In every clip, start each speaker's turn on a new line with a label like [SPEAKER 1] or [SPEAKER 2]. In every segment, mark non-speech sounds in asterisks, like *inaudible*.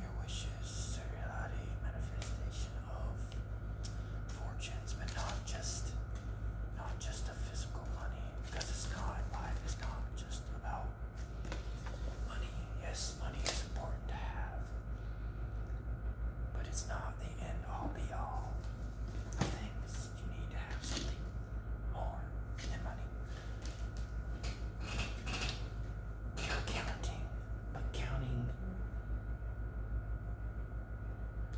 [SPEAKER 1] Your wishes, reality, manifestation of fortunes, but not just not just the physical money, because it's not life is not just about money. Yes, money is important to have. But it's not the end all be all things. You need to have something more than money. You're counting, but counting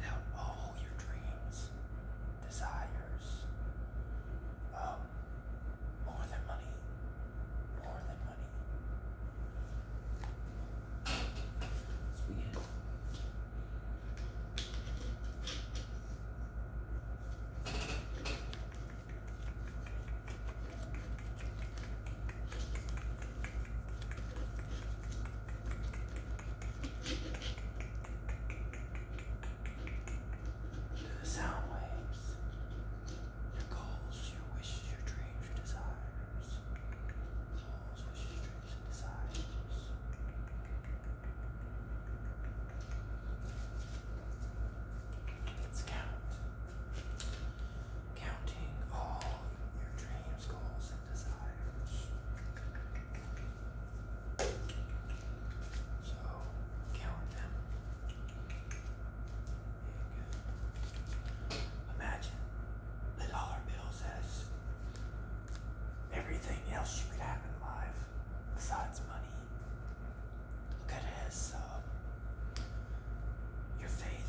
[SPEAKER 1] out all your dreams, desires, um, more than money, more than money. The sound waves, your goals, your wishes, your dreams, your desires. Let's count. Counting all your dreams, goals, and desires. So count them. Imagine the dollar bill says everything else you could have in life besides money. Look at it as uh, your faith,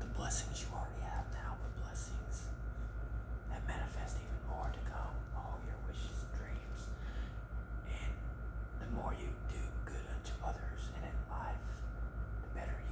[SPEAKER 1] the blessings you already have now, but blessings that manifest even more to come, all your wishes and dreams. And the more you do good unto others in life, the better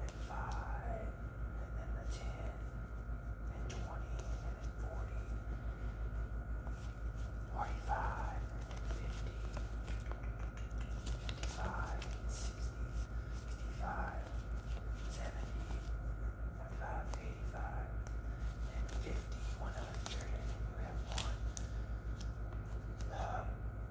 [SPEAKER 1] and five, and then the ten, and twenty, and then forty, forty-five, and fifty, fifty-five, and sixty, sixty-five, seventy, seventy-five, eighty-five, and fifty, one hundred, and you have one. Um,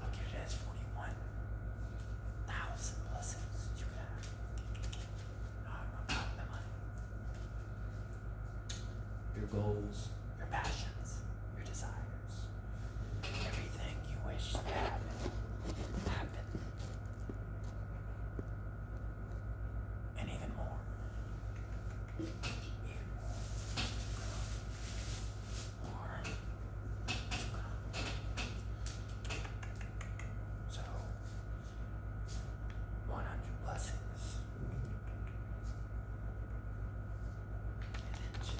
[SPEAKER 1] Look at it, it's 41,000 blessings you could have. Not about the money. Your goals, your passions, your desires, everything you wish to happen, happen and even more. More. So, 100 blessings. And two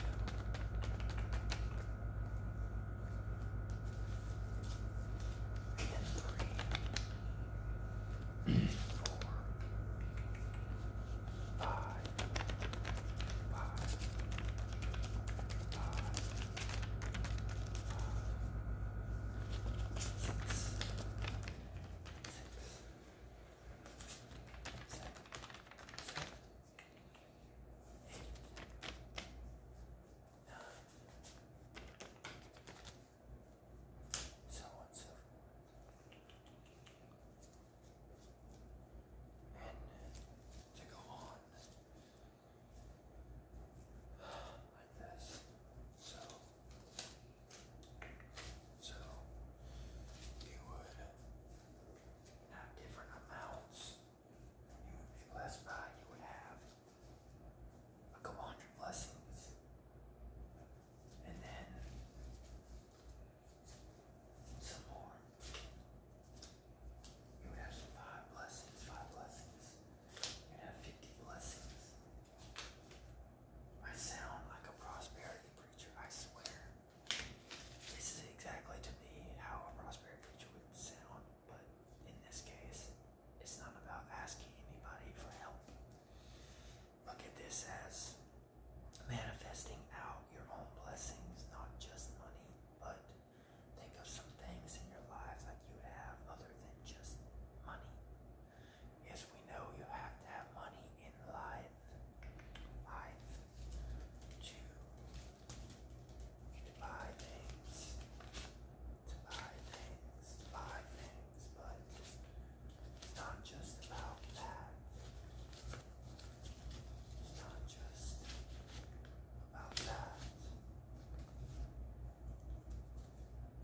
[SPEAKER 1] and three, four, five, five, five, five, six, six. Seven, seven, eight, so on and so forth. to go on like this. So so you would have different amounts you would be blessed by, you would have a couple hundred blessings. And then some more. You would have some five blessings, five blessings. You'd have 50 blessings. I sound like a prosperity preacher, I swear. This is exactly to me how a prosperity preacher would sound. But in this case, it's not about asking anybody for help. Look at this as manifesting out your own blessings, not just money, but think of some things in your lives like you have other than just money. Yes, we know you have to have money in life, life Two to buy things, to buy things, to buy things, but it's not just about that. It's not just about that.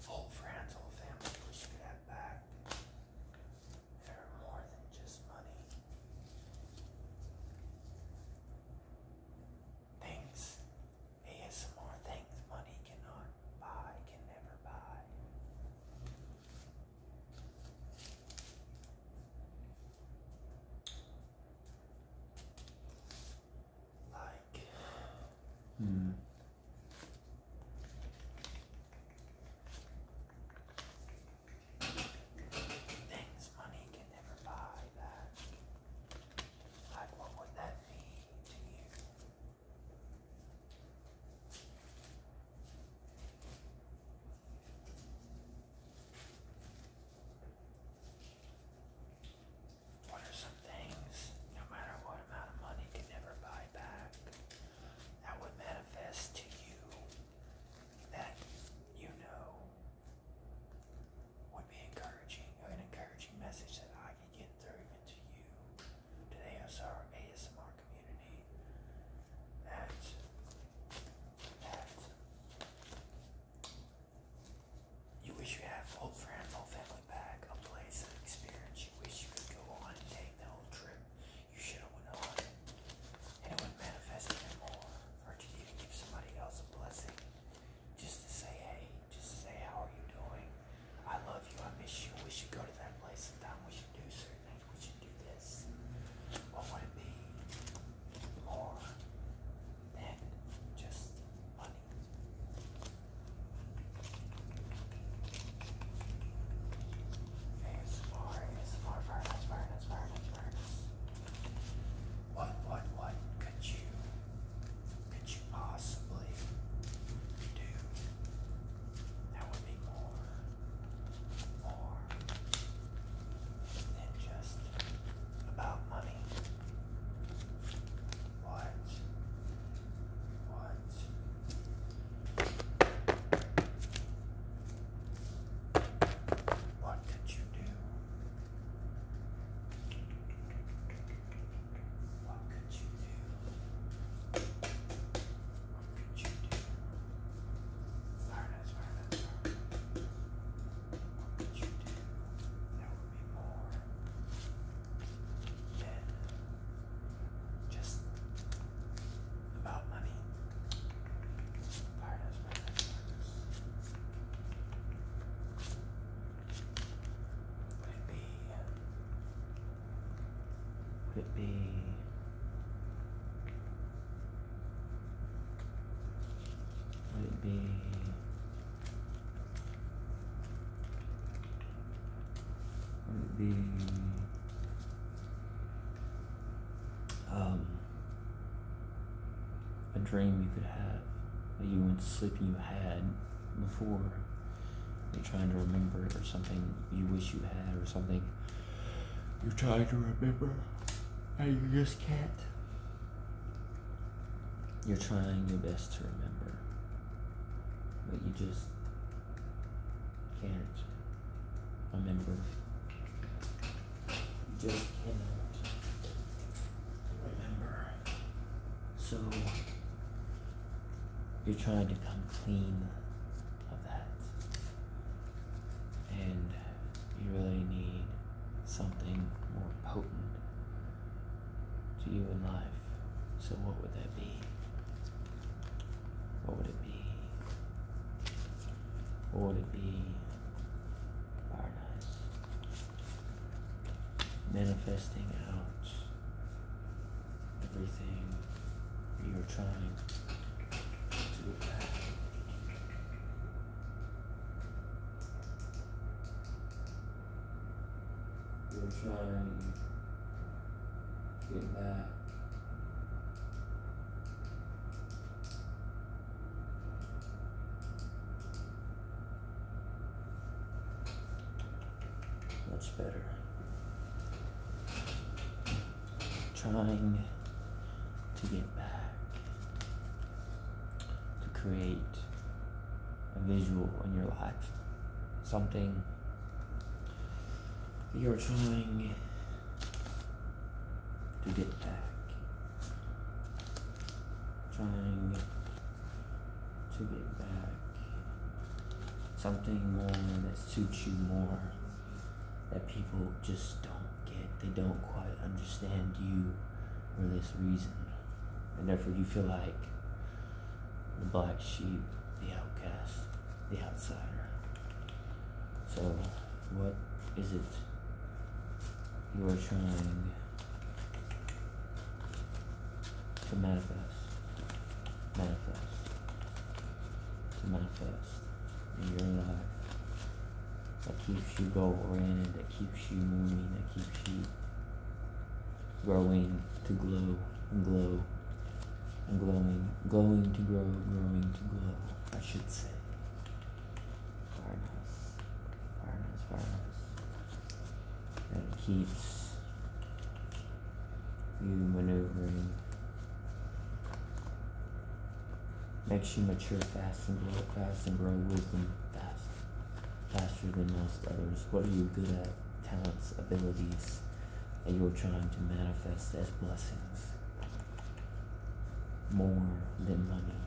[SPEAKER 1] Full friends, whole family, wish you could back. They're more than just money things, some more things money cannot buy, can never buy.
[SPEAKER 2] Like, hmm.
[SPEAKER 1] Things money can never buy that. Like, what would that mean to you? What are some things, no matter what amount of money, can never buy back? That would manifest to you that you know would be encouraging, an encouraging message that I can get through even you, to the ASR, ASMR community, that, that you wish you have old friends, old family back, a place, an experience you wish you could go on and take the whole trip you should have went on, and it would more or to give somebody else a blessing. Just to say, hey, just to say, how are you doing? I love you, I miss you, we should go to that place sometime, we should do certain things, we should do this. What would it be more than just money? ASMR, ASMR, furnace, furnace, furnace, furnace what, what, what could you, could you possibly do that would be more, more than just about money? What, what? What did you do what could you do?
[SPEAKER 2] What could you do? There would be more just about money. Would it be? Would it be? Would it be? Would it be? Um, a dream you could have that you went to sleep and you had before. You're trying to remember or something you wish you had or something you're trying to remember
[SPEAKER 1] and you just can't.
[SPEAKER 2] You're trying your best to remember, but you just can't remember.
[SPEAKER 1] You just cannot remember. So
[SPEAKER 2] you're trying to come clean of that. And you really need something more potent to you in life. So what would that be? What would it be? What would it be? Manifesting out everything you're trying to have. You're trying to get back. Much better. Trying to get back to create a visual in your life, something you're trying to get back. Trying to get back. Something more that suits you more. That people just don't get. They don't quite understand you for this reason. And therefore you feel like the black sheep, the outcast. The Outsider. So, what is it you are trying to manifest? Manifest. To manifest and you're not That keeps you going, oriented, that keeps you moving, that keeps you growing to glow and glow and glowing, glowing to grow, growing to glow, I should say. Farnhouse, Farnhouse, Farnhouse. It keeps you maneuvering. Makes you mature fast and grow fast and grow wisdom fast, faster than most others. What are you good at? Talents, abilities that you're trying to manifest as blessings more than money.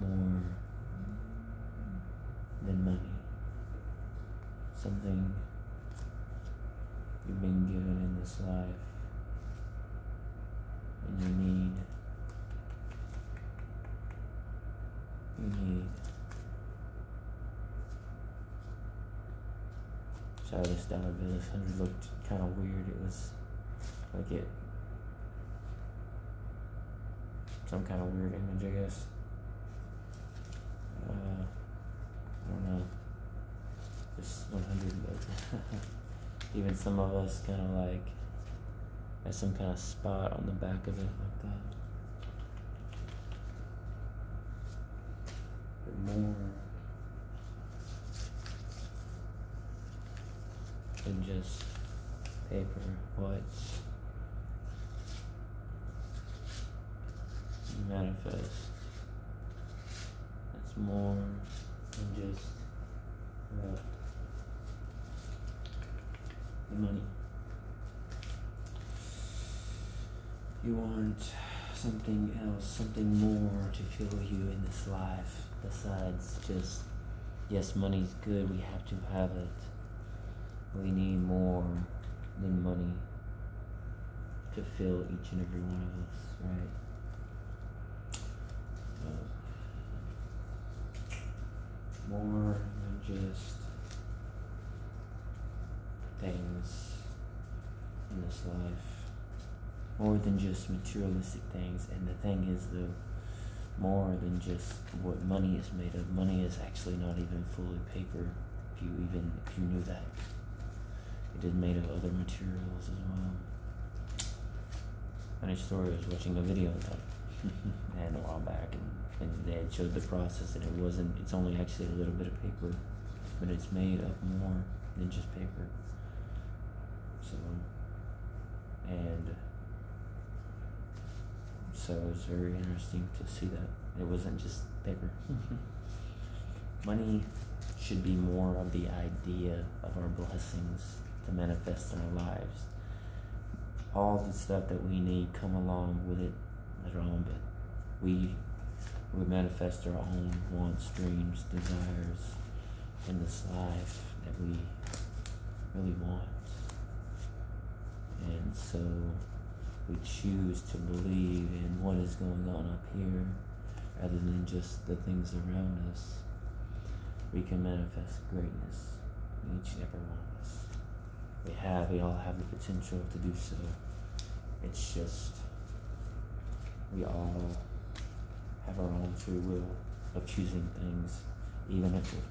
[SPEAKER 2] More than money. Something you've been given in this life and you need you need Shot this Dollar Bill. This hundred looked kind of weird. It was like it some kind of weird image, I guess. Uh, I don't know. This 100, *laughs* even some of us kind of like has some kind of spot on the back of it like that. But more and just paper. what manifest? It's more than just uh, money. You want something else, something more to fill you in this life besides just, yes, money's good, we have to have it. We need more than money to fill each and every one of us, right? more than just things in this life more than just materialistic things. And the thing is, the more than just what money is made of. Money is actually not even fully paper. If you even if you knew that, it is made of other materials as well. Funny story. I was watching a video of *laughs* and a while back, and, and they showed the process, and it wasn't. It's only actually a little bit of paper but it's made up more than just paper. So, and so it's very interesting to see that it wasn't just paper. *laughs* Money should be more of the idea of our blessings to manifest in our lives. All the stuff that we need come along with it at our own but we we manifest our own wants, dreams, desires and this life that we really want. And so we choose to believe in what is going on up here rather than just the things around us. We can manifest greatness each and every one of us. We have, we all have the potential to do so. It's just we all have our own free will of choosing things, even if it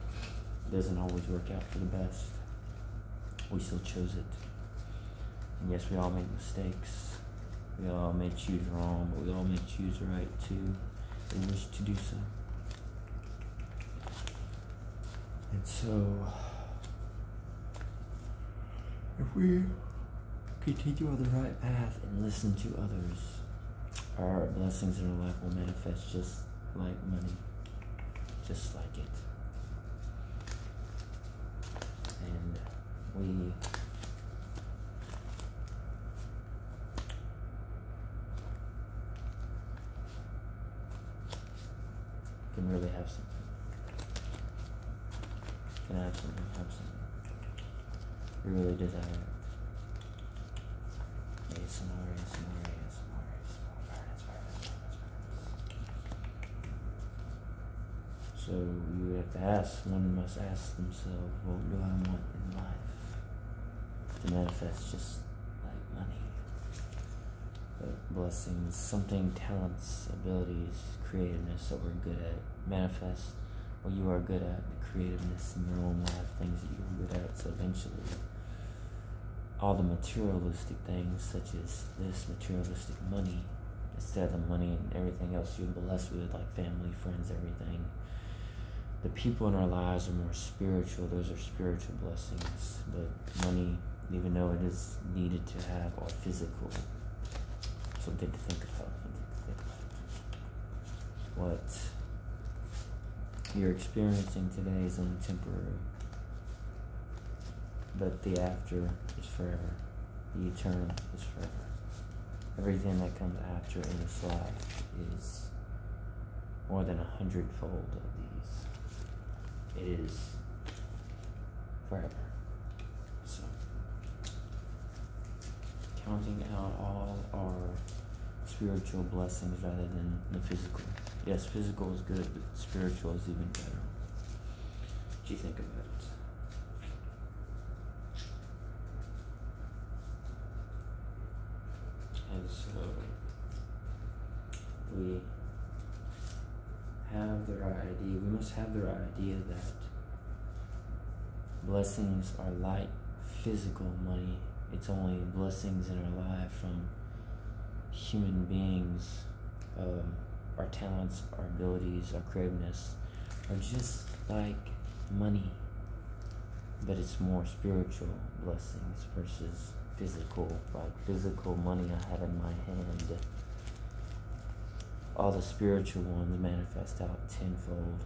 [SPEAKER 2] doesn't always work out for the best. We still chose it. And yes, we all make mistakes. We all may choose wrong, but we all may choose right too and wish to do so. And so, if we continue on the right path and listen to others, our blessings in our life will manifest just like money, just like it. And we can really have something. Can have something, have something. You really desire So you have to ask, one must ask themselves, what do I want in life? To manifest just like money blessings, something, talents, abilities, creativeness that we're good at. Manifest what you are good at, the creativeness in your own life, things that you're good at. So eventually, all the materialistic things, such as this materialistic money, instead of the money and everything else you're blessed with, like family, friends, everything. The people in our lives are more spiritual. Those are spiritual blessings. But money, even though it is needed to have a physical. Something to think about. What you're experiencing today is only temporary, but the after is forever. The eternal is forever. Everything that comes after in the life is more than a hundredfold of these. It is forever. So, counting out all our spiritual blessings rather than the physical. Yes, physical is good, but spiritual is even better. What do you think about it? And so, we have the right idea. We must have the right idea that blessings are like physical money. It's only blessings in our life from human beings, um, our talents, our abilities, our creativeness are just like money, but it's more spiritual blessings versus physical, physical money I have in my hand. All the spiritual ones manifest out tenfold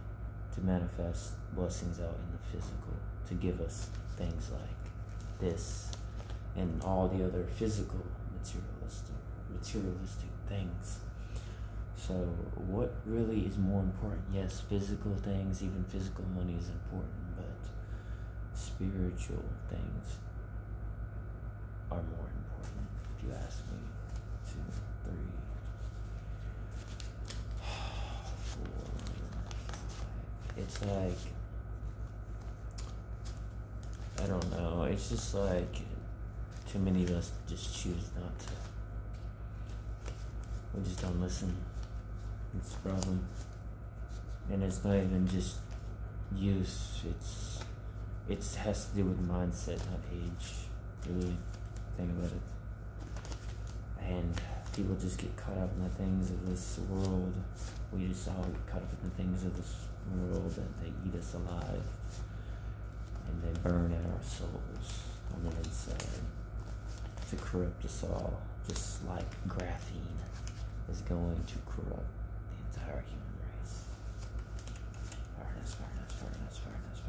[SPEAKER 2] to manifest blessings out in the physical, to give us things like this and all the other physical materialistic materialistic things. So what really is more important? Yes, physical things, even physical money is important, but spiritual things are more important, if you ask me. Two, three, four, five. It's like, I don't know, it's just like too many of us just choose not to. We just don't listen. It's a problem and it's not even just use it's it has to do with mindset not age really think about it and people just get caught up in the things of this world we just all get caught up in the things of this world and they eat us alive and they burn at our souls on the inside to corrupt us all just like graphene is going trying to corrupt the entire human race.
[SPEAKER 1] Fairness, fairness, fairness, fairness,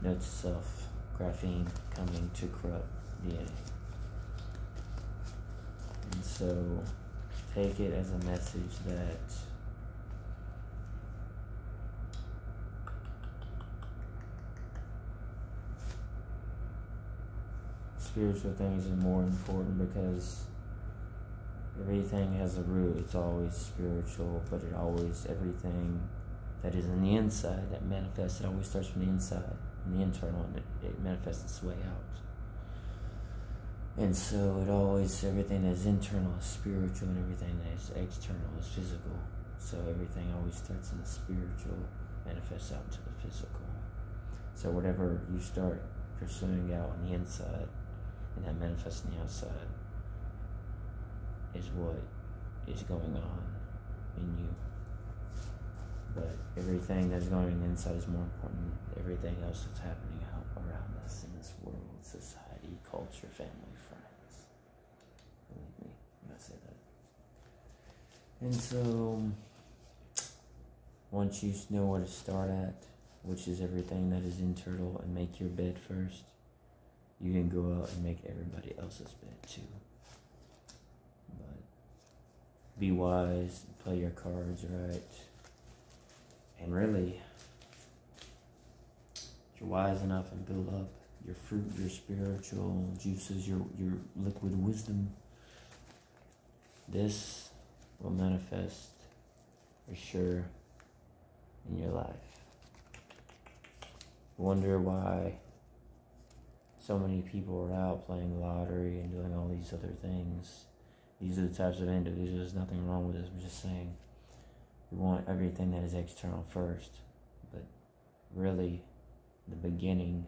[SPEAKER 2] fairness. Note self, graphene coming to corrupt DNA. And so take it as a message that spiritual things are more important because everything has a root. It's always spiritual, but it always, everything that is in the inside that manifests, it always starts from the inside, and the internal, and it, it manifests its way out. And so it always, everything that's internal is spiritual, and everything that's external is physical. So everything always starts in the spiritual manifests out to the physical. So whatever you start pursuing out on the inside and that manifests on the outside is what is going on in you. But everything that's going on inside is more important than everything else that's happening out around us in this world, society, culture, family, friends. Believe me i say that. And so, once you know where to start at, which is everything that is internal, and make your bed first, you can go out and make everybody else's bed too. But be wise, play your cards right, and really, you're wise enough and build up your fruit, your spiritual juices, your, your liquid wisdom. This will manifest for sure in your life. Wonder why so many people are out playing lottery and doing all these other things. These are the types of individuals. There's nothing wrong with this. We're just saying we want everything that is external first. But really the beginning.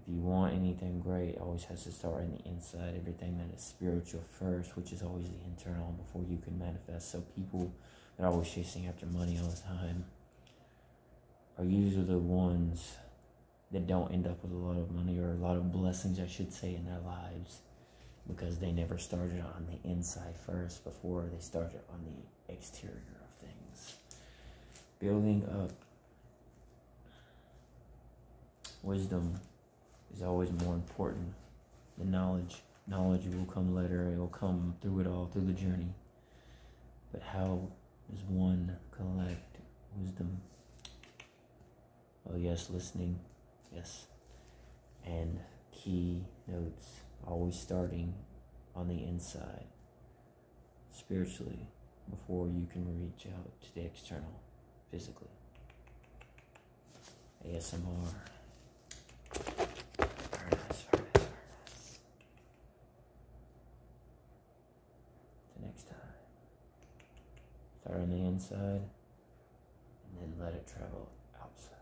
[SPEAKER 2] If you want anything great, it always has to start on the inside. Everything that is spiritual first, which is always the internal before you can manifest. So people that are always chasing after money all the time are usually the ones that don't end up with a lot of money or a lot of blessings, I should say, in their lives because they never started on the inside first before they started on the exterior of things. Building up wisdom is always more important The knowledge. Knowledge will come later, it will come through it all, through the journey. But how does one collect wisdom? Oh, yes, listening, yes. And key notes, always starting on the inside spiritually before you can reach out to the external physically. ASMR. Very The next time. Start on the inside and then let it travel outside.